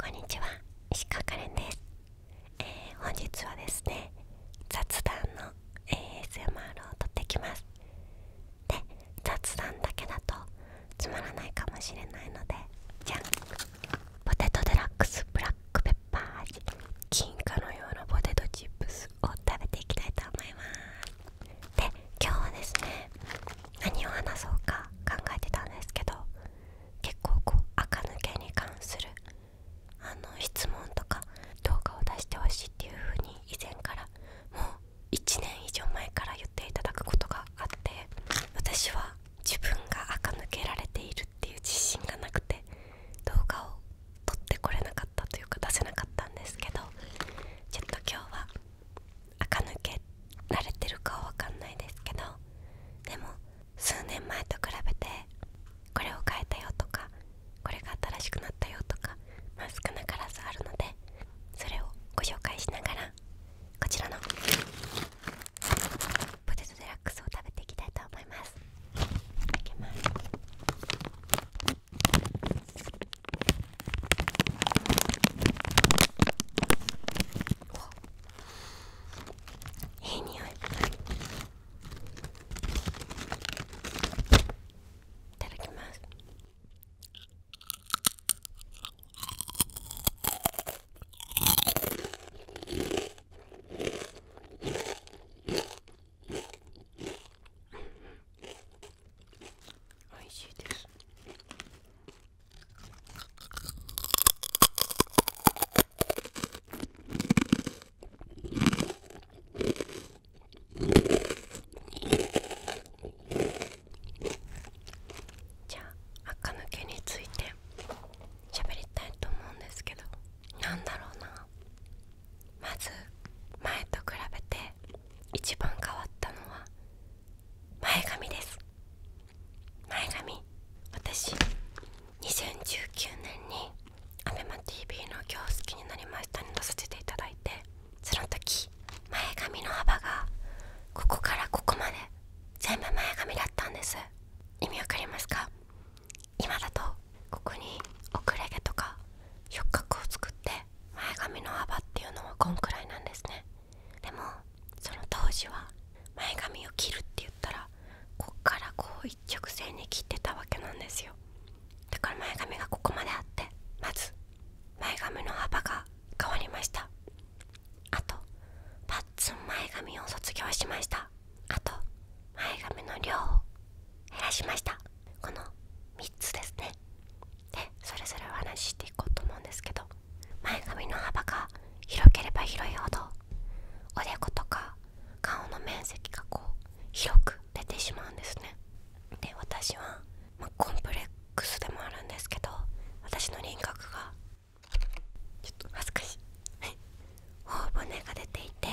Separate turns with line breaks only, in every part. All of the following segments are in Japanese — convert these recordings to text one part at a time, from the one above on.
こんにちは石川かれんです、本日はですね雑談の ASMR を撮ってきます雑談だけだとつまらないかもしれないのでじゃあ、ポテトデラックスブラックペッパー味金貨のようなポテトチップスを食べていきたいと思いますで今日はですね何を話そうか考えてたんですけど結構こう垢抜けに関するあの質問とか動画を出してほしいっていう風に以前からもう1年以上前から言っていただくことがあって私は自分が垢抜けられているっていう自信がなくて動画を撮ってこれなかったというか出せなかったんですけどちょっと今日は垢抜けられてるかは分かんないですけどでも数年前と比べてこれを変えたよとかこれが新しくなったよとか、まあ、少なからずあるのでそれをご紹介しながらこちらのポテトデラックスを食べていきたいと思いますいただきますおいい匂いいただきますおいしいですじゃあ垢抜けについて喋りたいと思うんですけどなんだろうなまず前と比べて一番変わったのは前髪です前髪私2019年に ABEMATV の「今日好きになりました」に出させていただいてその時前髪の幅がここからここまで全部前髪だったんです意味わかりますか今だとここに遅れ毛とか触覚を作って前髪の幅っていうのはこんくらいなんですねでもその当時は前髪を切るって言ったらこっからこう一直線に切ってたわけなんですよだから前髪がここまであってまず前髪の幅が変わりましたあとパッツン前髪を卒業しましたあと前髪の量を減らしましたこの3つですねでそれぞれお話ししていこうと思うんですけど前髪の幅が広ければ広いほどおでことか顔の面積がこう広く出てしまうんですねで私は、まコンプレックスでもあるんですけど私の輪郭がちょっと恥ずかしいはい、頬骨が出ていて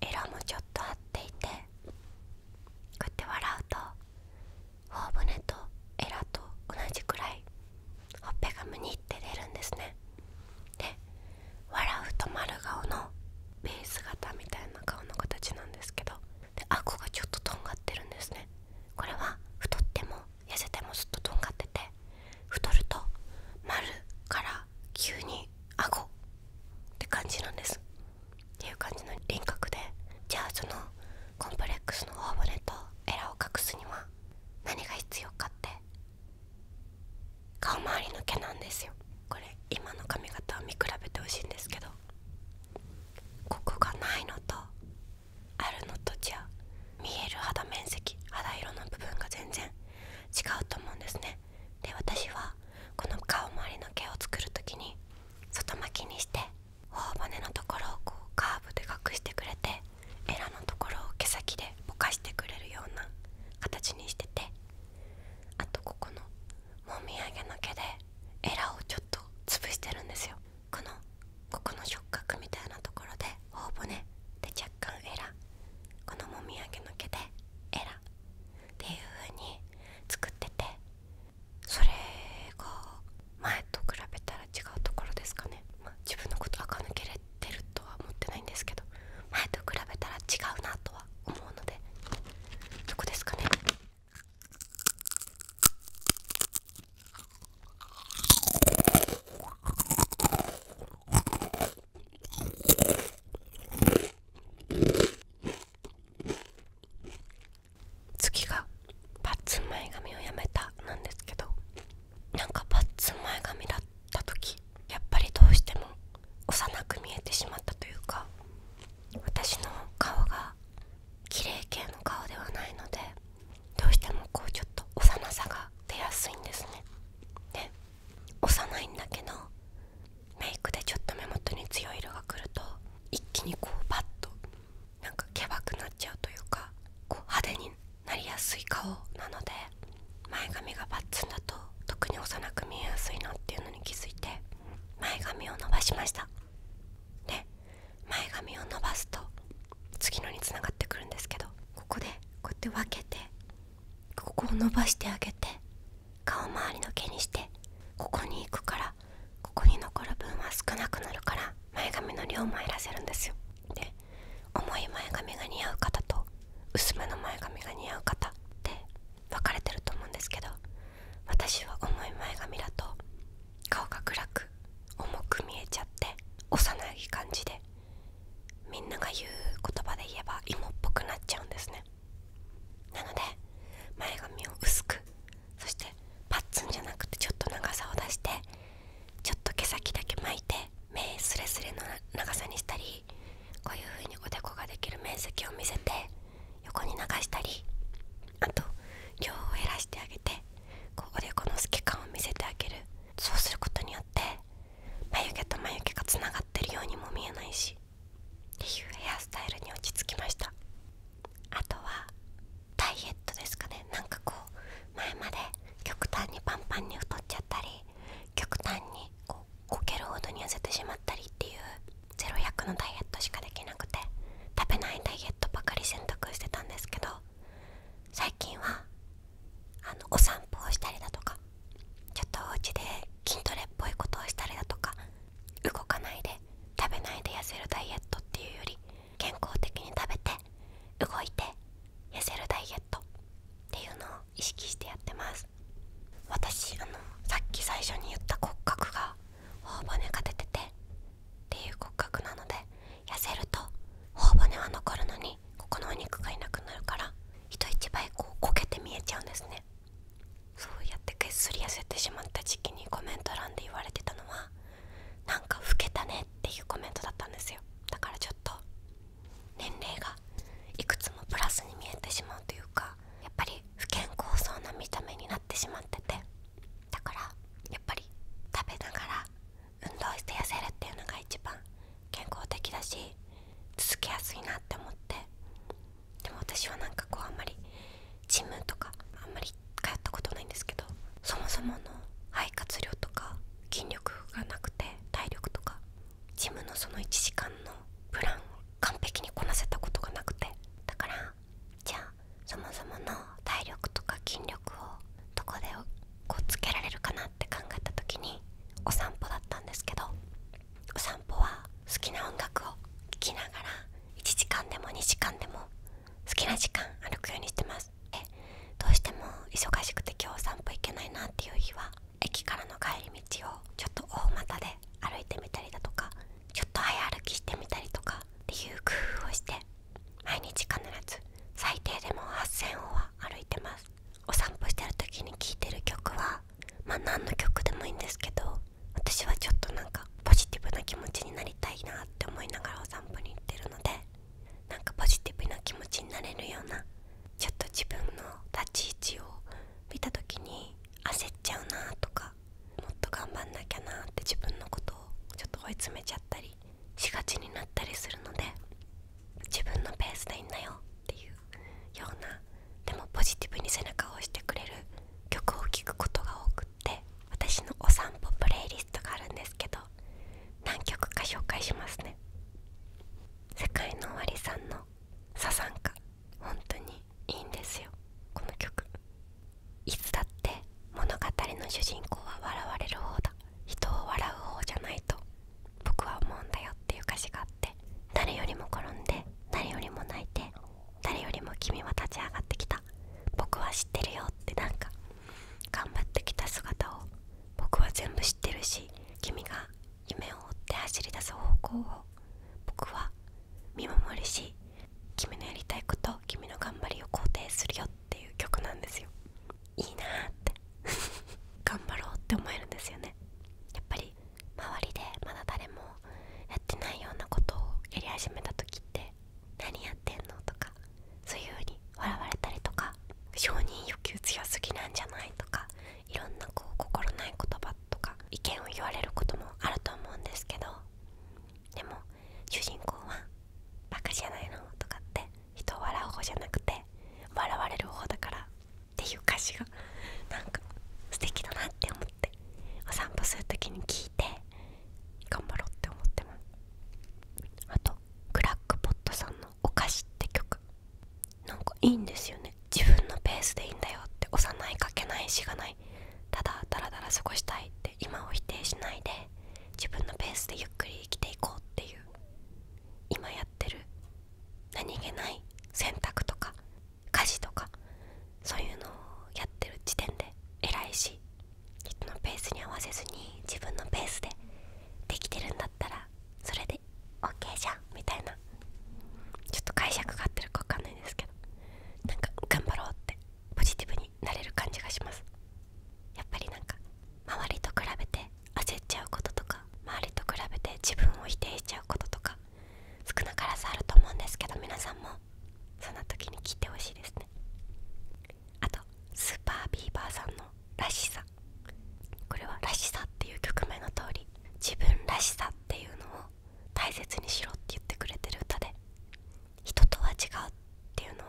エラもちょっと合っていてこうやって笑うと頬骨とエラと同じくらいほっぺがむにって出るんですねで笑うと丸顔のベース型みたいな顔の形なんですけどで顎がちょっととんがってるんですねこれは太っても痩せてもすっととんがってて太ると丸から急に顎って感じなんですっていう感じの輪郭でじゃあそのコンプレックスの頬骨とエラを隠すには何が必要かって顔周りの毛なんですよこれ今の髪型を見比べてほしいんですけどここがないのとあるのとじゃ見える肌面積肌色の部分が全然違うと思うんですねで私はこの顔周りの毛を作る時に外巻きにして頬骨のところをこうカーブで隠してくれてエラのところを毛先でぼかしてくれるような形にしててあとここのもみあげの毛でエラをちょっと潰してるんですよこのここの触覚みたいなところで頬骨で若干エラこのもみあげの毛でエラっていう風に作っててそれが前と比べたら違うところですかね、まあ、自分のこと垢抜けれてるとは思ってないんですけど前と比べたら違うなとは思うのでどこですかね次がパッツン前髪をやめたなんですけどなんかパッツン前髪だった時やっぱりどうしても幼く見えてしまったというか私の顔が綺麗系の顔ではないのでどうしてもこうちょっと幼さが出やすいんですねで幼いんだけどメイクでちょっと目元に強い色がくると一気にこうパッとなんかけばくなっちゃうというかこう派手になりやすい顔なので前髪がバツンだと特に幼く見えやすいのっていうのに気づいて前髪を伸ばしましたで前髪を伸ばすと次のにつながってくるんですけどここでこうやって分けてここを伸ばしてあげて顔周りの毛にしてここに行くからここに残る分は少なくなるから前髪の量も減らせるんですよで重い前髪が似合う方と薄めの前髪が似合う方って分かれてると思うんですけど私は重い前髪だと顔が暗く重く見えちゃって幼い感じでみんなが言う言葉で言えば芋っぽくなっちゃうんですねなので前髪を薄くそしてパッツンじゃなくてちょっと長さを出してちょっと毛先だけ巻いて目すれすれの長さにしたりこういう風におでこができる面積を見せて横に流したりあと量を減らしてあげてこうおでこの透け感を見せてあげるそうすることによって眉毛と眉毛がつながってるようにも見えないしっていうヘアスタイルに落ち着きましたあとはダイエットですかねなんかこう前まで極端にパンパンに太っちゃったり極端にこうこけるほどに痩せてしまったりっていう0 1 0のダイエットしかできなくて食べないダイエットばかり選択してたんですけど最近はあのお散歩をしたりだとかちょっとお家で筋トレっぽいことをしたりだとか動かないで食べないで痩せるダイエットっていうより健康的に食べて動いて痩せるダイエットていうのを意識してやってます私あのさっき最初に言った骨格が頬骨が出ててっていう骨格なので痩せると頬骨は残るのにここのお肉がいなくなるから人一倍こうこけて見えちゃうんですねそうやってぐっすり痩せてしまった時期にコメント欄で言われてたのはなんか老けたねっていうコメントだったんですよだからちょっと年齢がいくつもプラスに見えてしまうというかやっぱり不健康そうな見た目になってしまっててだからやっぱり食べながら運動して痩せるっていうのが一番健康的だし続けやすいなって思ってでも私はなんかこうあんまりジムとかあんまり通ったことないんですけどそもそもの肺活量とか筋力がなくて体力とかジムのその1時間のプランを完璧にこなせたことがなくてだからじゃあそもそもの体力とか筋力をどこでこうつけられるかなって考えた時にお散歩だったんですけどお散歩は好きな音楽を聴きながら1時間でも2時間でも好きな時間歩くようにしてますでどうしても忙しくて今日お散歩行けないなっていう日は駅からの帰り道をちょっと大股で歩いてみたりだとかちょっと早歩きしてみたりとかっていう工夫をして毎日必ず最低でも8000歩は歩いてますお散歩してる時に聴いてる曲はまあ何の曲でもいいんですけど私はちょっとなんかポジティブな気持ちになりたいなって思いながらお散歩に行ってるのでなんかポジティブな気持ちになれるようなちょっと自分の立ち位置を見た時に焦っちゃうなとかもっと頑張んなきゃなって自分のことをちょっと追い詰めちゃったりしがちになったりするので自分のペースでいいんだよっていうようなでもポジティブに背中を押してくれる曲を聴くことが多くって私のお散歩プレイリストがあるんですけど何曲か紹介しますね世界の終わりさんのサザンカ本当にいいんですよこの曲いつだって物語の主人公は笑われる方だ人を笑う方じゃないと僕は思うんだよっていう歌詞があって誰よりも転んで誰よりも泣いて誰よりも君は立ち上がってきた僕は知ってるよってなんか頑張ってきた姿を僕は全部知ってるし君が夢を追って走り出す方向を僕は見守るし君のやりたいこと君の頑張りを肯定するよっていう曲なんですよいいなって頑張ろうって思えるんですよねやっぱり周りでまだ誰もやってないようなことをやり始めた時って何やってんのとかそういう風に笑われたりとか承認欲求強すぎなんじゃないとかいろんなこう心ない言葉とか意見を言われることもあると思うんですけどでも主人公は「バカじゃないの?」とかって人を笑う方じゃなくて笑われる方だからっていう歌詞がなんか素敵だなって思っお散歩する時に聞いて頑張ろうって思ってますあとクラックポットさんの「お菓子」って曲なんかいいんですよね自分のペースでいいんだよって幼いかけないしがないただダラダラ過ごしたいって今を否定しないで自分のペースでゆっくり生きていこうっていう今やってる何気ない選択とか家事とかそういうのをやってる時点で偉いし人のペースに合わせずに自分のペースでできてるんだったらそれで OK じゃんみたいなちょっと解釈が合ってるか分かんないですけどなんか頑張ろうってポジティブになれる感じがしますやっぱりなんか周りと比べて焦っちゃうこととか周りと比べて自分を否定しちゃうこととか少なからずあると思うんですけど皆さんもそんな時に聞いてほしいですねあとスーパービーバーさんの「らしさ」これは「らしさ」っていう曲名の通り自分らしさっていうのを大切にしろって言ってくれてる歌で人とは違うっていうのを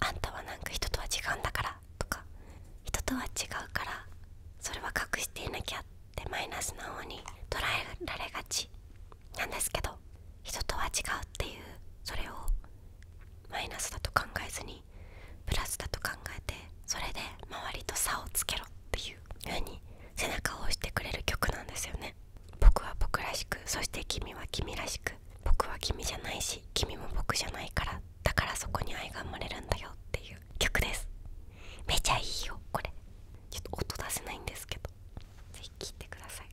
あんたはなんか人とは違うんだからとか人とは違うからそれは隠していなきゃでマイナスな方に捉えられがちなんですけど人とは違うっていうそれをマイナスだと考えずにプラスだと考えてそれで周りと差をつけろっていう風に背中を押してくれる曲なんですよね僕は僕らしくそして君は君らしく僕は君じゃないし君も僕じゃないからだからそこに愛が生まれるんだよっていう曲ですめちゃいいよこれちょっと音出せないんですけどぜひ聴いてください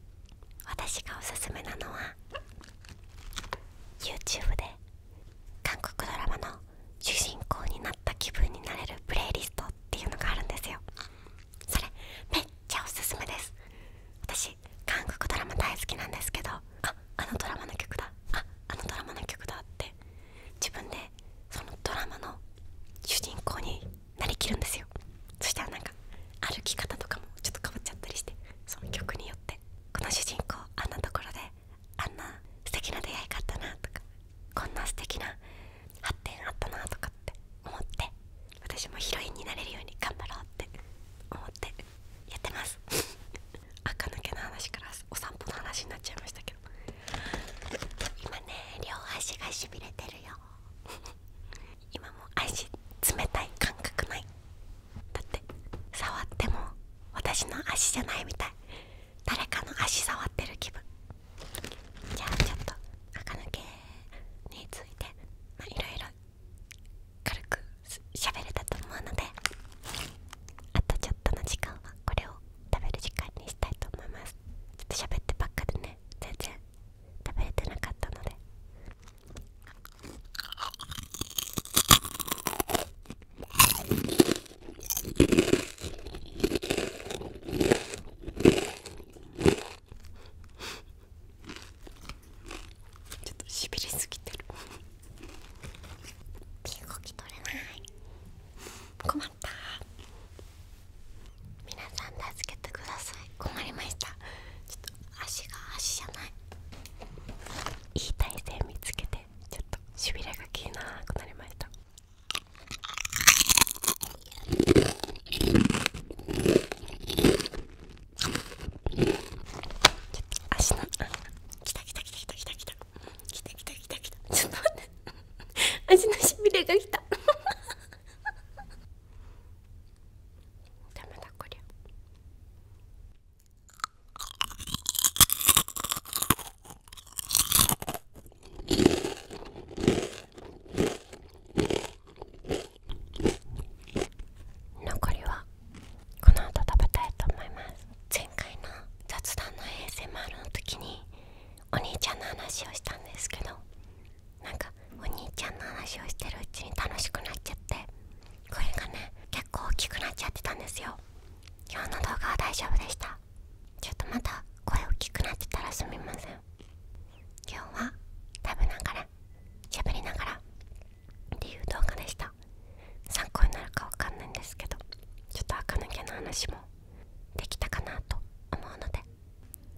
私がおすすめなのは YouTube で韓国ドラマの主人公になった気分になれるプレイリストっていうのがあるんですよそれめっちゃおすすめです私韓国ドラマ大好きなんですけどああのドラマの曲だああのドラマの曲だって自分でそのドラマの主人公になりきるんですよそしたらなんか歩き方とかもちょっと変わっちゃったりしてその曲によってこの主人公あんなところであんな素敵な出会いがあったなとかこんな素敵な発展あったなとかって思って私もヒロインになれるように頑張ろうって思ってやってます 赤抜けの話からお散歩の話になっちゃいましたけど今ね両足がしびれてるよ 今も足冷たい感覚ないだって触っても私の足じゃないみたい誰かの足触ってる気分じゃあちょっと垢抜けについてまいろいろ軽く喋れたと思うのであとちょっとの時間はこれを食べる時間にしたいと思いますちょっ喋ってばっかでね全然食べれてなかったのでちょっとしびれすぎてる動き取れない困った皆さん助けてください困りましたちょっと足が足じゃないいい体勢見つけてちょっとしびれがえなくなりましたちょっと足の来た来た来た来た来た来た来た来た来た来たちょっと待って味のしびれがきたダメだこりゃ残りはこの後食べたいと思います前回の雑談の ASMR の時にお兄ちゃんの話をしたんですけどなんかお兄ちゃんの話をしてるうちに楽しくなっちゃってこれがね結構大きくなっちゃってたんですよ今日の動画は大丈夫でしたちょっとまた声大きくなってたらすみません今日は食べながら喋りながらっていう動画でした参考になるかわかんないんですけどちょっと垢抜けの話もできたかなと思うので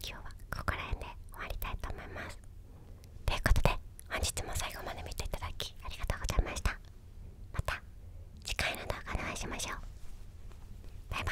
今日はここら辺で終わりたいと思いますということで本日も最後まで見ていただきありがとうございましたまた次回の動画でお会いしましょうバイバーイ